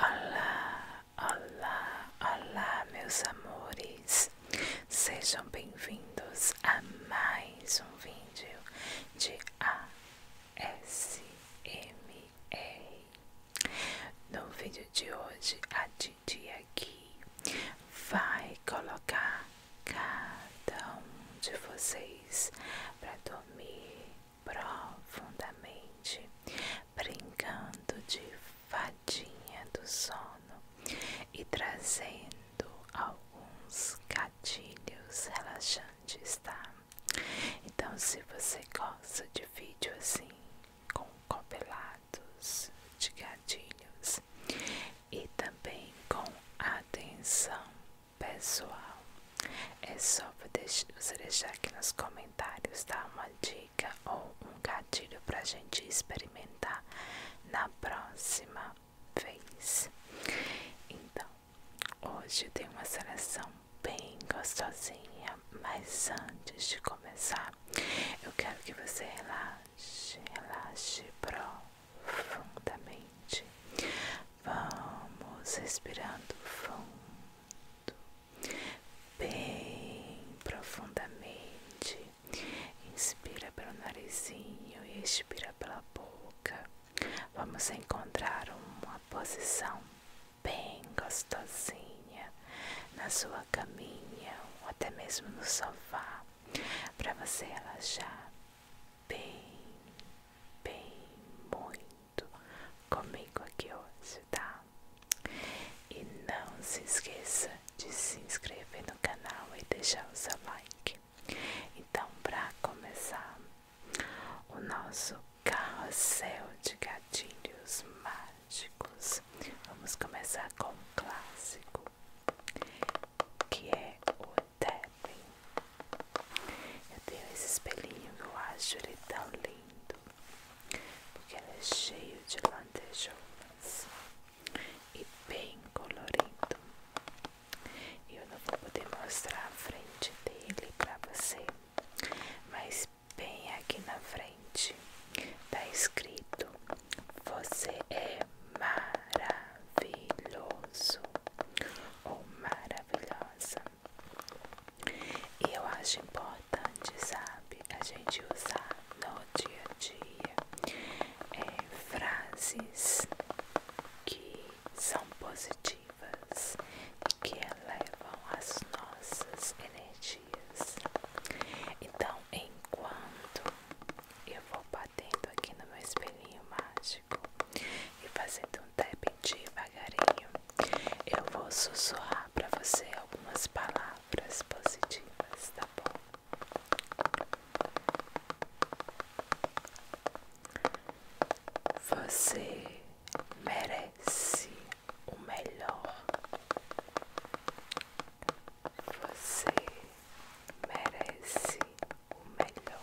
Olá, olá, olá, meus amores! Sejam bem-vindos a mais um vídeo de ASMR. No vídeo de hoje, a Didi aqui vai colocar cada um de vocês para dormir profundamente, brincando de fadinha do sono e trazendo alguns gatilhos relaxantes, tá? Então, se você gosta de vídeo assim, com compilados de gatilhos e também com atenção pessoal. É só você deixar aqui nos comentários, tá? Uma dica ou um gatilho a gente experimentar na próxima vez. Então, hoje tem uma seleção bem gostosinha, mas antes de começar, eu quero que você relaxe, relaxe profundamente. Vamos respirando fundo, bem profundamente. Inspira pelo narizinho e expira pela boca. Vamos encontrar uma posição bem gostosinha na sua caminha ou até mesmo no sofá para você relaxar bem, bem muito junto comigo aqui hoje, tá? E não se esqueça de se inscrever no canal e deixar o seu like. Então, para começar o nosso carrossel de gatilhos mágicos, vamos começar com o clássico que é o tapping. Eu tenho esse espelhinho que eu acho ele tão lindo, porque ele é cheio de lantejoulas e bem colorido. Eu não vou poder mostrar a frente dele para você, mas bem aqui na frente está escrito: Você é maravilhoso ou maravilhosa. E eu acho importante, sabe, a gente usar no dia a dia é, frases que são positivas e que elevam as nossas energias. Então, enquanto eu vou batendo aqui no meu espelhinho mágico e fazendo tapping tá devagarinho. Eu vou sussurrar para você algumas palavras positivas, tá bom? Você merece o melhor. Você merece o melhor.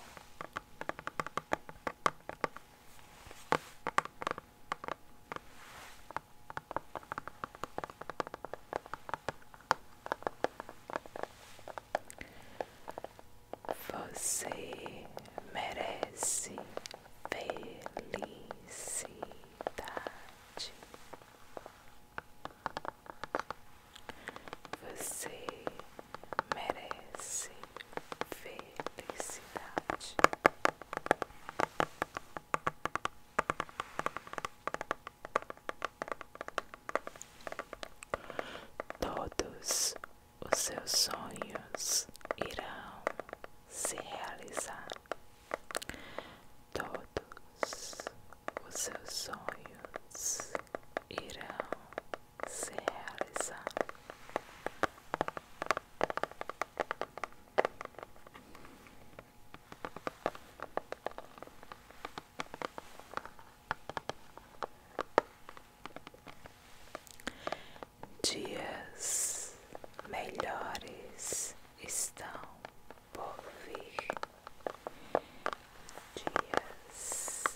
Você merece felicidade. Você merece felicidade. Todos os seus sonhos irão se realizar. Todos os seus sonhos irão se realizar. Dias melhores estão por vir. Dias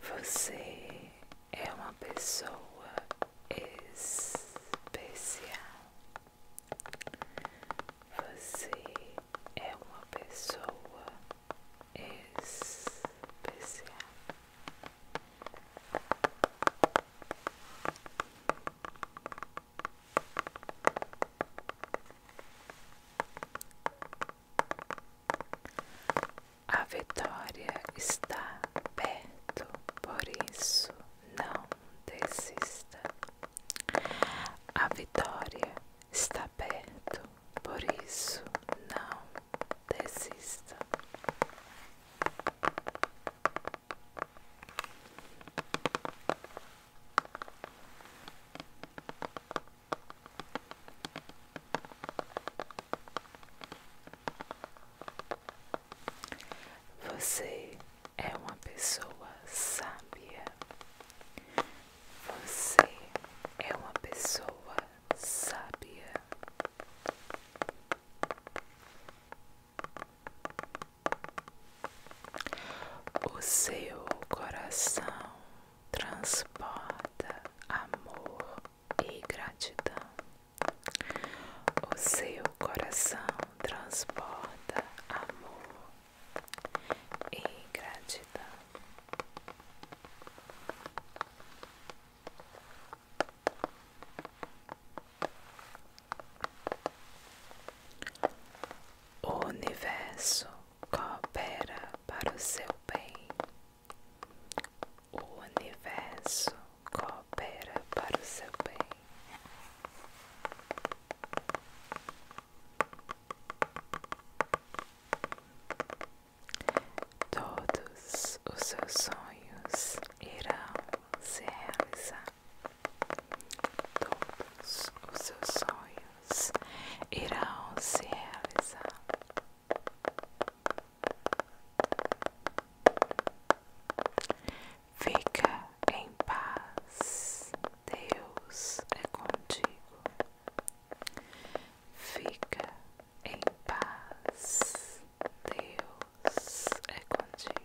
Você é uma pessoa especial. Você é uma pessoa especial. A vitória está perto, por isso não desista. A vitória está perto, por isso não desista. Você é uma pessoa sábia. Você é uma pessoa sábia. O seu coração transporta amor e gratidão. O seu coração transporta amor e gratidão. O universo coopera para o seu bem. O universo coopera para o seu bem. Todos os seus sonhos irão se realizar. Todos os seus sonhos sonhos irão se realizar. Fica em paz, Deus é contigo. Fica em paz, Deus é contigo.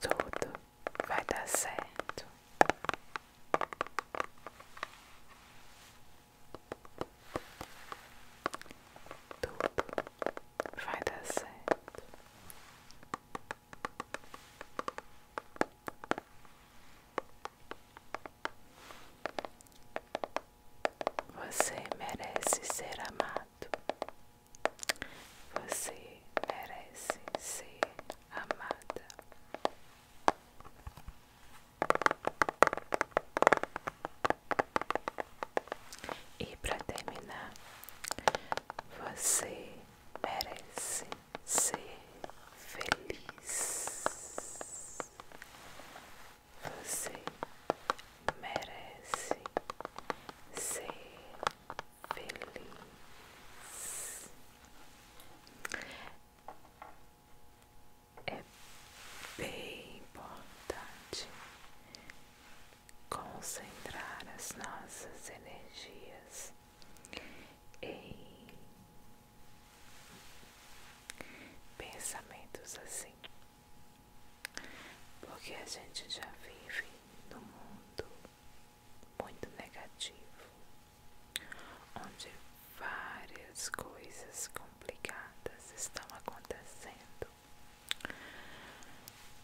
Tudo vai dar certo. Tudo vai dar certo. Você merece ser amado. Você merece ser amada. E para terminar, você merece ser feliz. Você merece ser feliz. É bem importante concentrar as nossas energias em pensamentos assim, porque a gente já vive num mundo muito negativo, onde várias coisas complicadas estão acontecendo.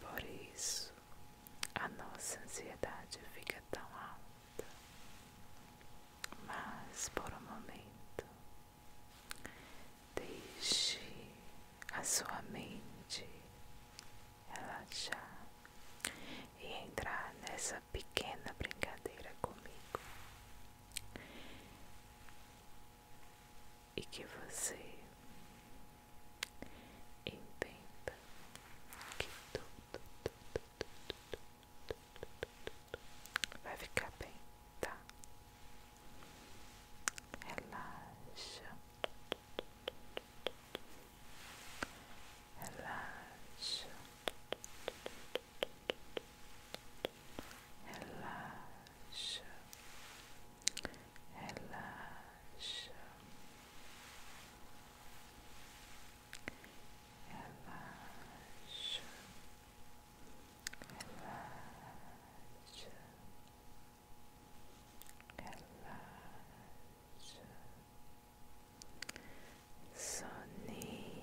Por isso, a nossa ansiedade fica tão alta, mas por um momento deixe a sua mente relaxar e entrar nessa pequena brincadeira comigo e que você entenda que tudo Vai ficar bem, tá? Relaxa. Relaxa. Relaxa. Relaxa. Relaxa. Relaxa. Relaxa. Soninho.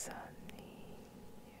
Soninho.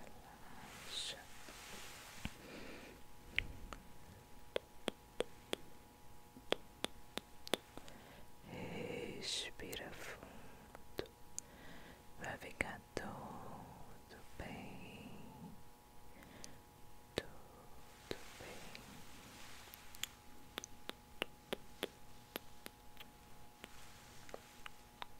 relaxa. Respira fundo, vai ficar tudo bem, tudo bem.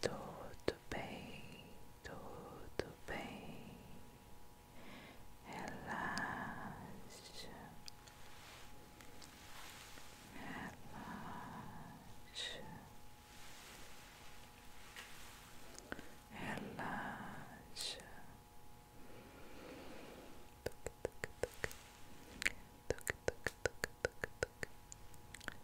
tudo bem, tudo bem. Relaxa. Relaxa. Relaxa.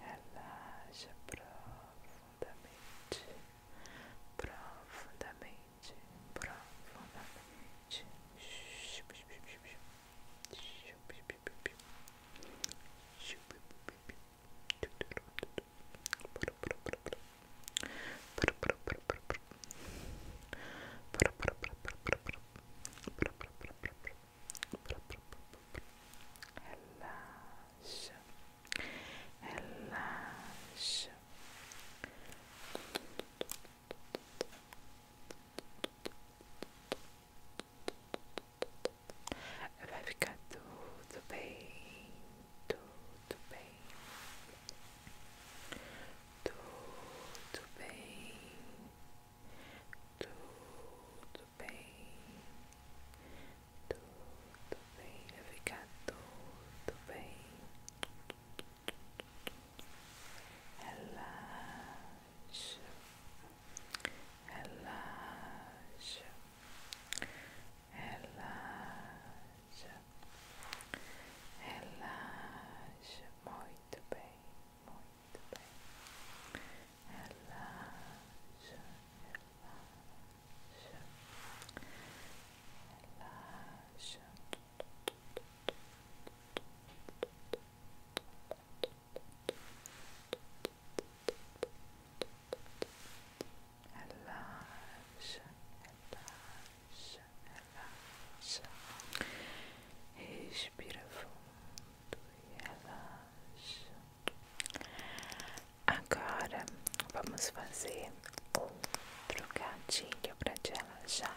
Relaxa profundamente, profundamente, profundamente. Relaxa relaxa. Vai ficar tudo bem, tudo bem, tudo bem, tudo bem, tudo bem, vai ficar tudo bem. Relaxa, relaxa, relaxa, relaxa. Muito bem, muito bem. relaxa, relaxa, relaxa. Relaxa, relaxa, relaxa. Respira fundo e relaxa. Agora vamos fazer outro gatilho para te já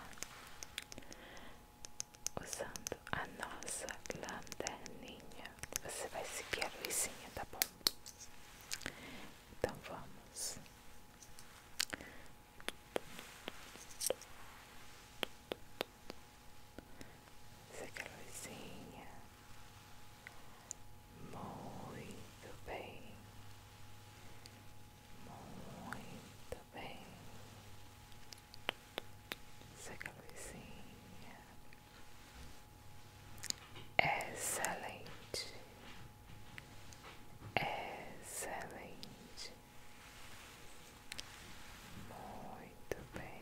usando a nossa lanterninha. Você vai seguir a luzinha, tá bom? Então vamos. Essa calorzinha. Muito bem. Muito bem. Essa Excelente. Excelente. Muito bem.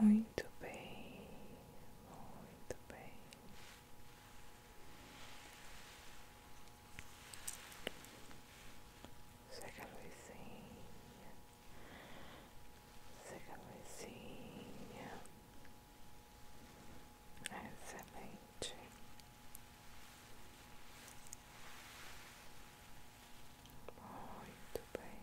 Muito bem, muito bem. Chega a luzinha, chega luzinha. Excelente. Muito bem.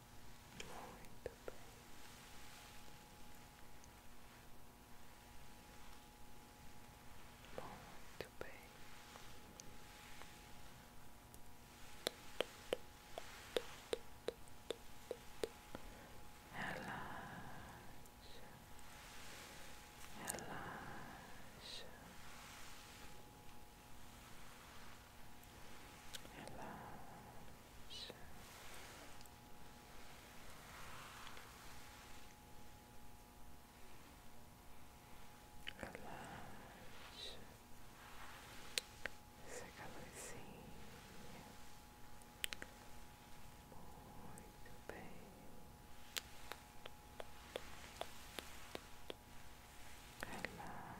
Muito bem. Muito bem. Relaxa, relaxa, Relaxa essa calorzinha. Muito bem. Relaxa.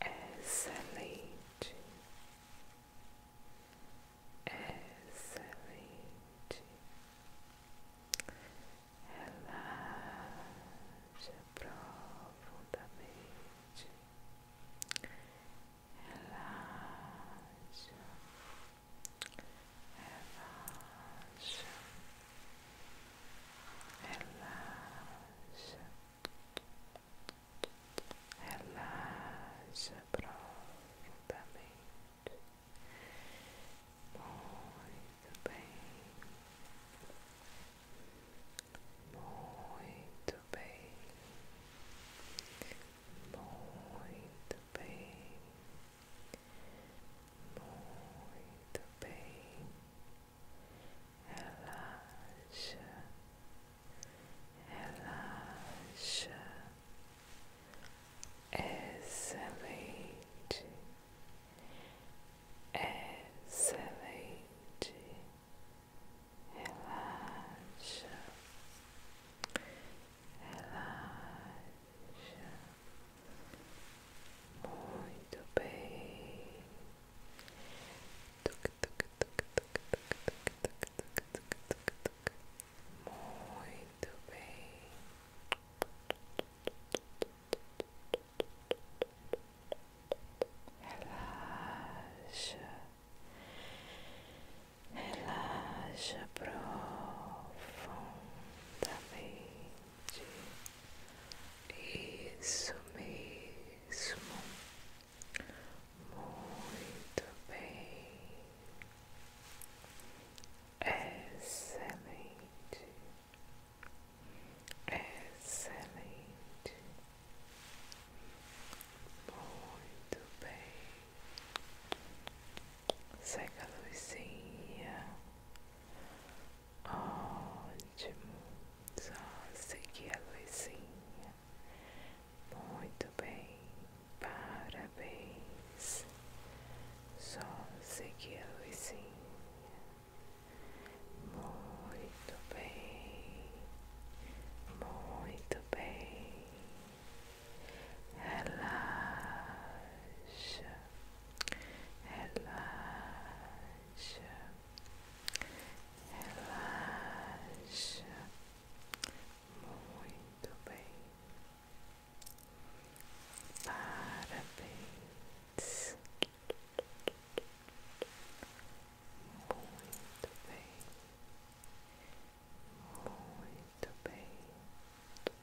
Excelente, excelente. Relaxa profundamente. Relaxa, relaxa relaxa, relaxa profundamente, muito bem, muito bem, muito bem. Muito bem, relaxa, relaxa, excelente, excelente, relaxa, relaxa. Muito bem. Muito bem. Relaxa. Relaxa profundamente. Isso mesmo, muito bem, excelente, excelente, muito bem, segue a luzinha. Ótimo, só seguir a luzinha. Muito bem, parabéns. Só seguir a luzinha. Muito bem, muito bem. Relaxa relaxa, relaxa, muito bem, parabéns, muito bem, muito bem.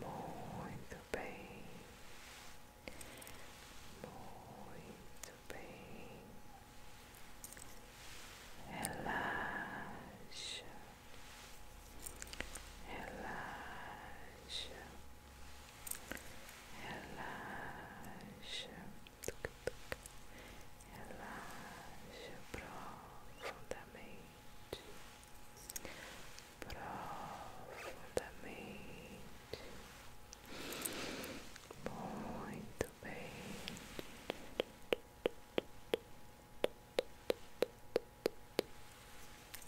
Muito bem, muito bem, relaxa, relaxa, relaxa, relaxa profundamente profundamente. Muito bem.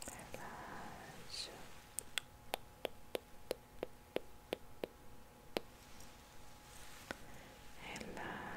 Relaxa. Relaxa.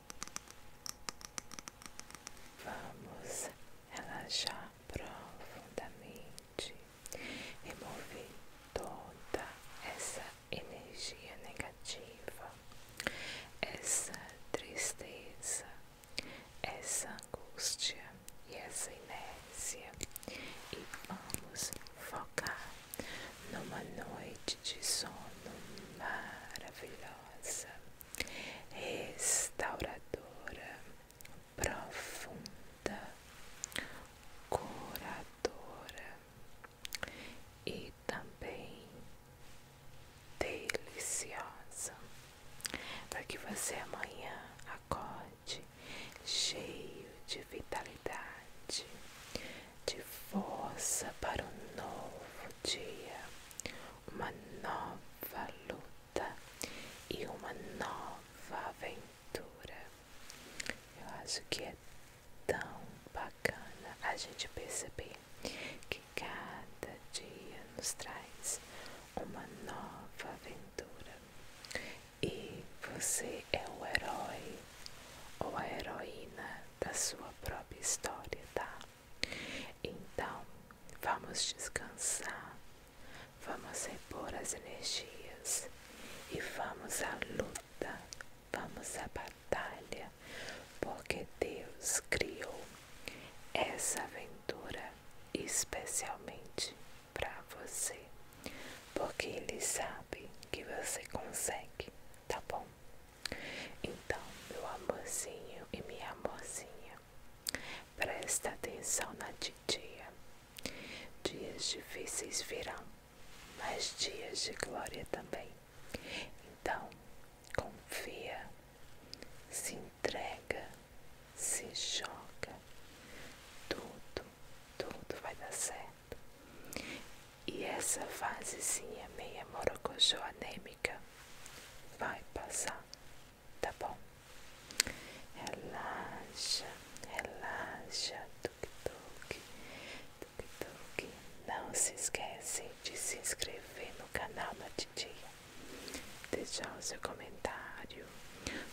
Vamos relaxar profundamente, remover toda essa energia negativa, essa tristeza, essa angústia e essa inércia, e vamos focar numa noite de sono maravilhosa restauradora, profunda, curadora e também deliciosa, para que você amanhã acorde cheio de vitalidade, de força para um novo dia uma nova luta e uma nova aventura. Eu acho que é tão bacana a gente perceber que cada dia nos traz uma nova aventura e você é o herói ou a heroína da sua própria história, tá? Então, vamos descansar, vamos repor as energias e vamos à luta, vamos à batalha, porque Deus criou essa aventura especialmente para você, porque Ele sabe que você consegue, tá bom? Então, meu amorzinho e minha amorzinha, presta atenção na titia. Dias difíceis virão, mas dias de glória também. Então, confia, se entrega, se joga. Tudo, tudo vai dar certo. E essa fasezinha meia com morocojoa nem vai passar, tá bom? Relaxa, relaxa, tuk-tuk, tuk-tuk. Não se esquece de se inscrever no canal da Titia, deixar o seu comentário,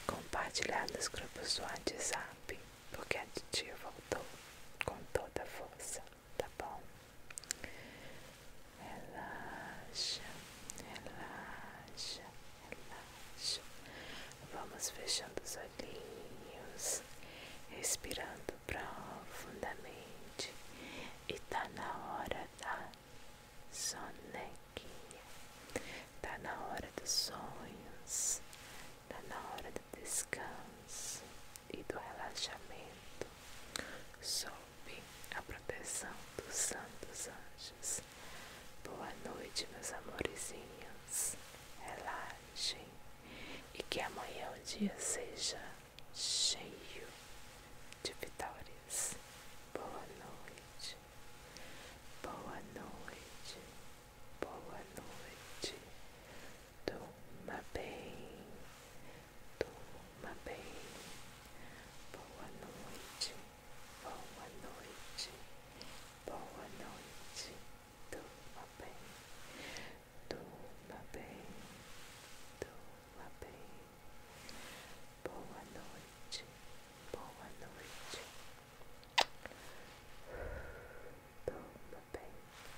compartilhar nos grupos do WhatsApp, porque a Titia voltou com toda a força tá bom? Relaxa, relaxa, relaxa. Vamos fechando os olhinhos, respirando profundamente. E tá na hora da sonequinha, tá na hora dos sonhos, tá na hora do descanso e do relaxamento sob a proteção dos santos anjos. Boa noite, meus amorezinhos. Relaxem e que amanhã o dia seja cheio de vitórias. Boa noite. Boa noite. Boa noite. Toma bem, toma bem. Boa noite, boa noite, boa noite. Toma bem, toma bem, toma bem. Boa noite, boa noite. Toma bem.